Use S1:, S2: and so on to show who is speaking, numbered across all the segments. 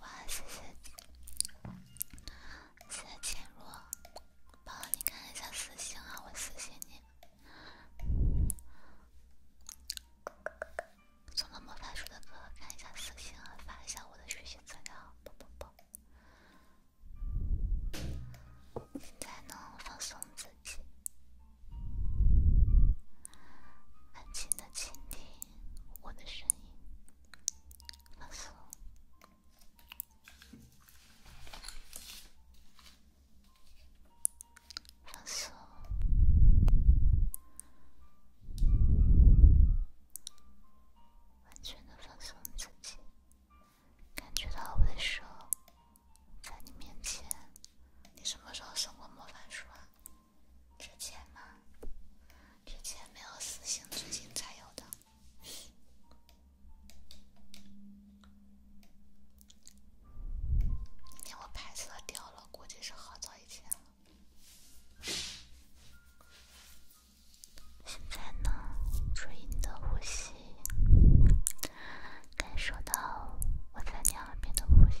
S1: 哇，谢谢，谢谢浅若，我帮你看一下私信啊，我私信你，送了魔法书的哥，哥，看一下私信啊，发一下我的学习资料，啵啵啵。现在呢，放松自己。安静的倾听我的声音，放松，放松，完全的放松自己，感觉到我的手在你面前。你什么时候送过魔法书啊？之前吗？之前没有私信，最近才有的。那我拍摄掉了，估计是好早以前了。现在呢，注意你的呼吸，感受到我在你耳边的呼吸。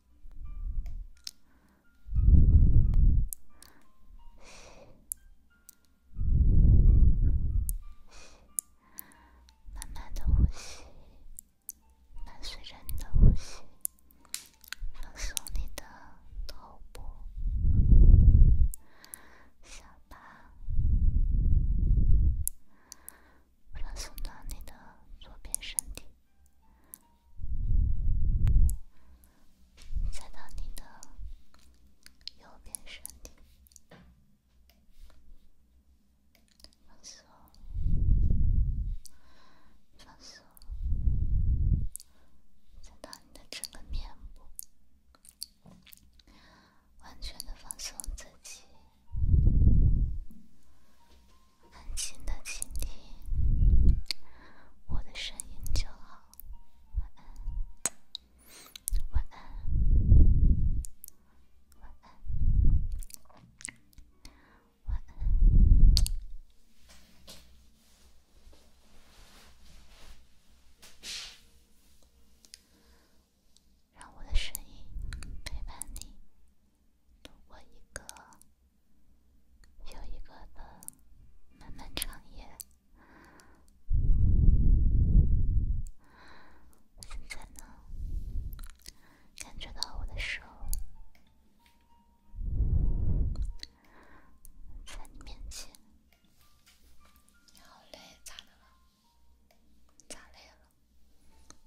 S1: 慢慢的呼吸，伴随着你的呼吸，放松你的头部、下巴，放松到你的左边身体。再到你的右边身体，放松，放松，再到你的整个面部，完全的放松自己。安静的倾听我的声音就好，晚安，晚安，晚安，晚安，让我的声音陪伴你。度过一个又一个的漫漫长夜。现在呢，感觉到我的手在你面前。你好累，咋的了？咋累了？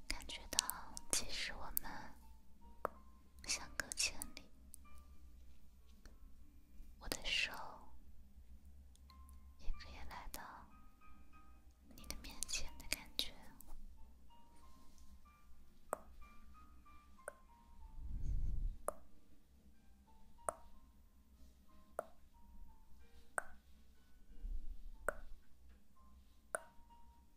S1: 感觉到，其实我们。相隔千里，我的手也可以来到你的面前的感觉。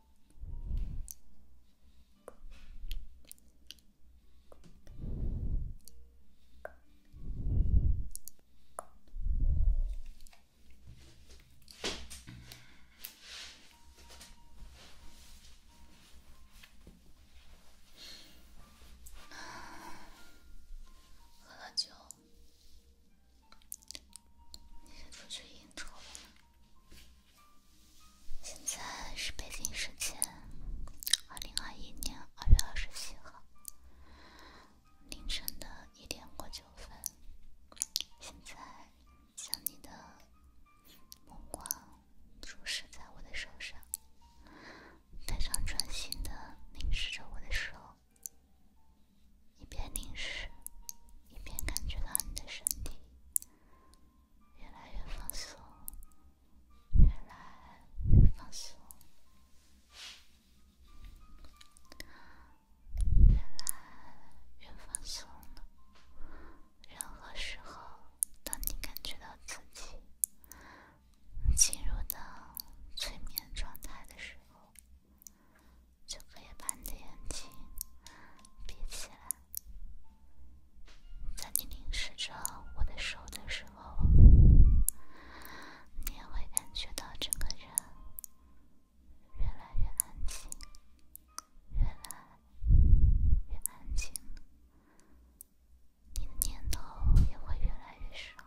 S2: 喝了酒。你先出去应酬了。现
S1: 在是北京时间，二零二一年二月二十七号凌晨的一点过九分。现在，将你的目光注视在我的手上，非常专心的凝视着我的手。一边凝视，一边感觉到你的身体越来越放松，越来越放松，越来越放松了。任何时候，当你感觉到自己进入到催眠状态的时候，就可以把你的眼睛闭起来，在你凝视着我的手的时候，你也会感觉到整个人越来越安静，越来越安静，你的念头也会越来越少，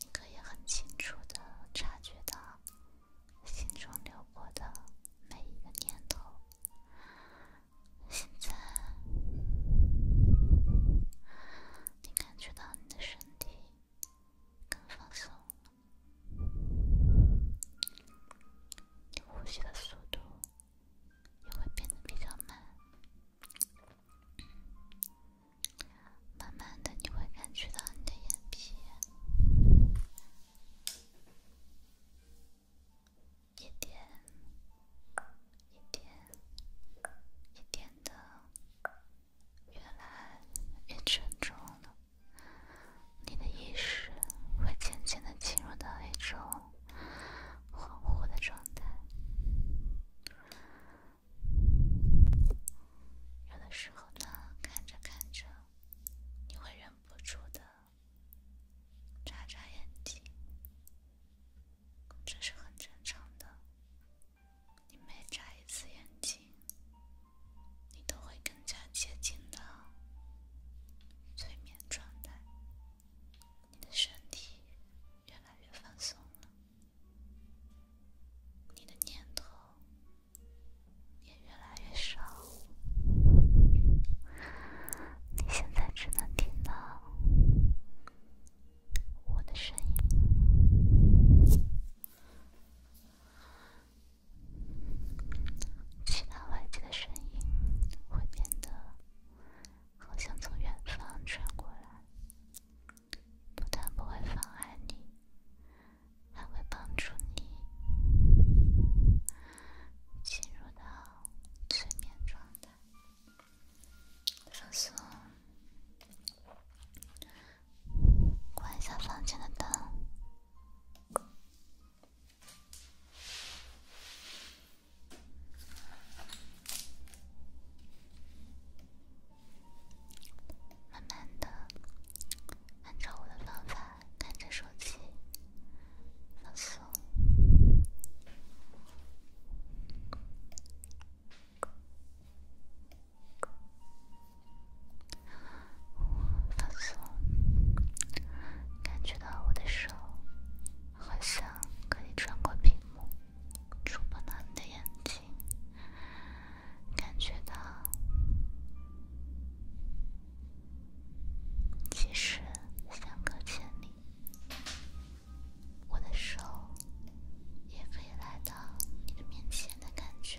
S1: 你可以很清楚的察觉到。心中流过的每一个念头，现在你感觉到你的身体更放松你呼吸的速度也会变得比较慢。慢慢的，你会感觉到你的眼皮一点、一点、一点的越来越沉重了。你的意识会渐渐的进入到一种恍惚的状态。有的时候呢，看着看着，你会忍不住的眨眨眼睛，这是很正常的。你每眨一次眼睛，你都会更加接近到催眠状态，你的身体越来越放松了，你的念头。也越来越少，你现在只能听到我的声音，其他外界的声音会变得好像从远方传过来，不但不会妨碍你。还会帮助你进入到催眠状态，放松，关一下房间的灯。慢慢的，按照我的方法看着手机，放松，放松，感觉到我的手好像可以穿过屏幕，触碰到你的眼睛。感觉到，其实相隔千里，我的手也可以来到你的面前的感觉。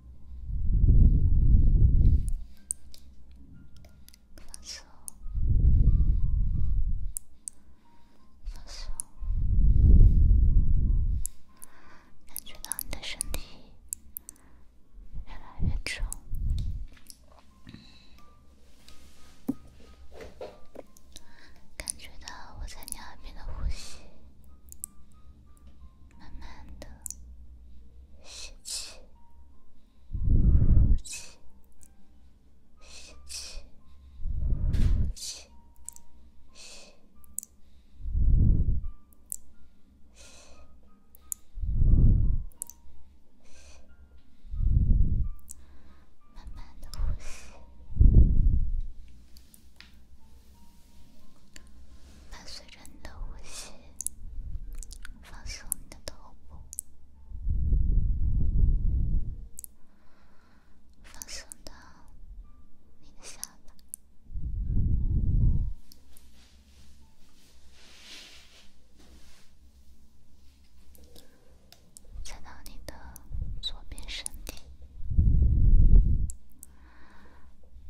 S1: 放松，放松，感觉到你的身体越来越重，感觉到我在你耳边的呼吸。慢慢的吸气，呼气，吸气，吸，吸，吸，吸，吸，慢慢的呼吸。伴随着你的呼吸，放松你的头部，放松到你的下巴，再到你的左边身体。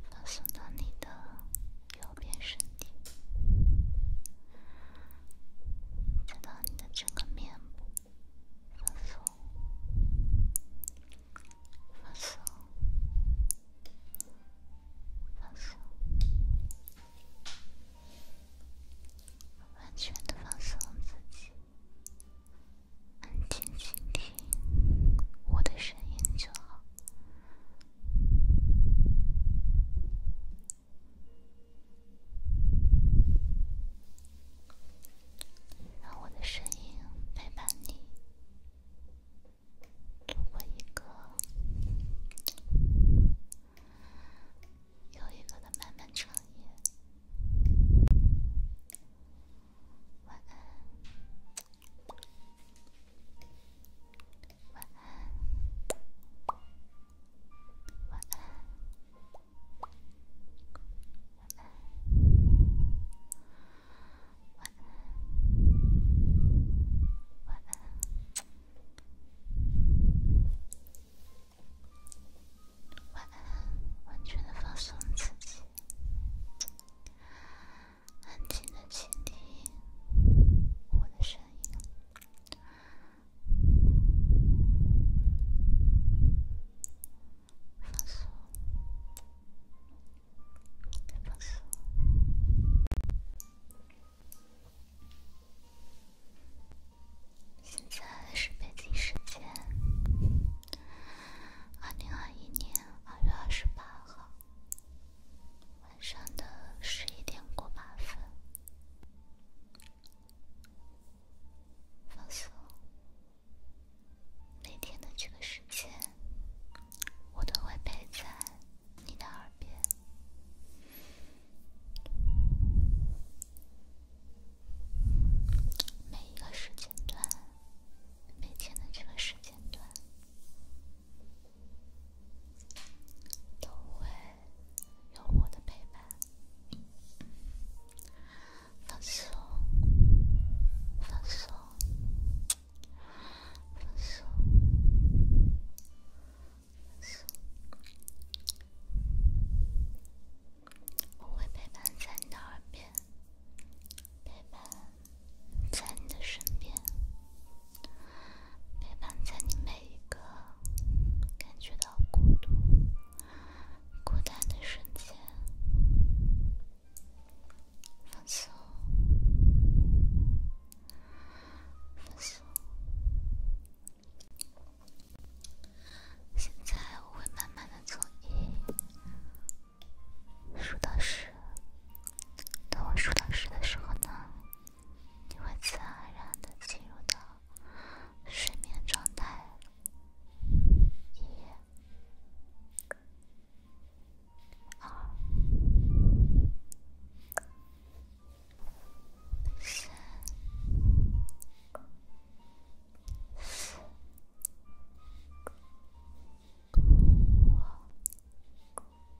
S1: 发送到你的右边身体，再到你的整个面部，放松，放松，放松，完全的放松自己，安静倾听我的声音就好。让我的声音陪伴你，度过一个又一个的漫漫长夜。晚安。晚安，全的放松自己。安静的倾听我的声音，放松，再放松。现在是北京时间，二零二一年二月二十八号。晚上的十一点过八分，放松。每天的这个时间，我都会陪在你的耳边。每一个时间段，每天的这个时间段。都会有我的陪伴，在你的身边，陪伴在你每一个感觉到孤独、孤单的瞬间，放松，放松。现在我会慢慢的做一。数到十，等我数到十的时候呢，你会自然的进入到睡眠状态。一、二、三、四、五。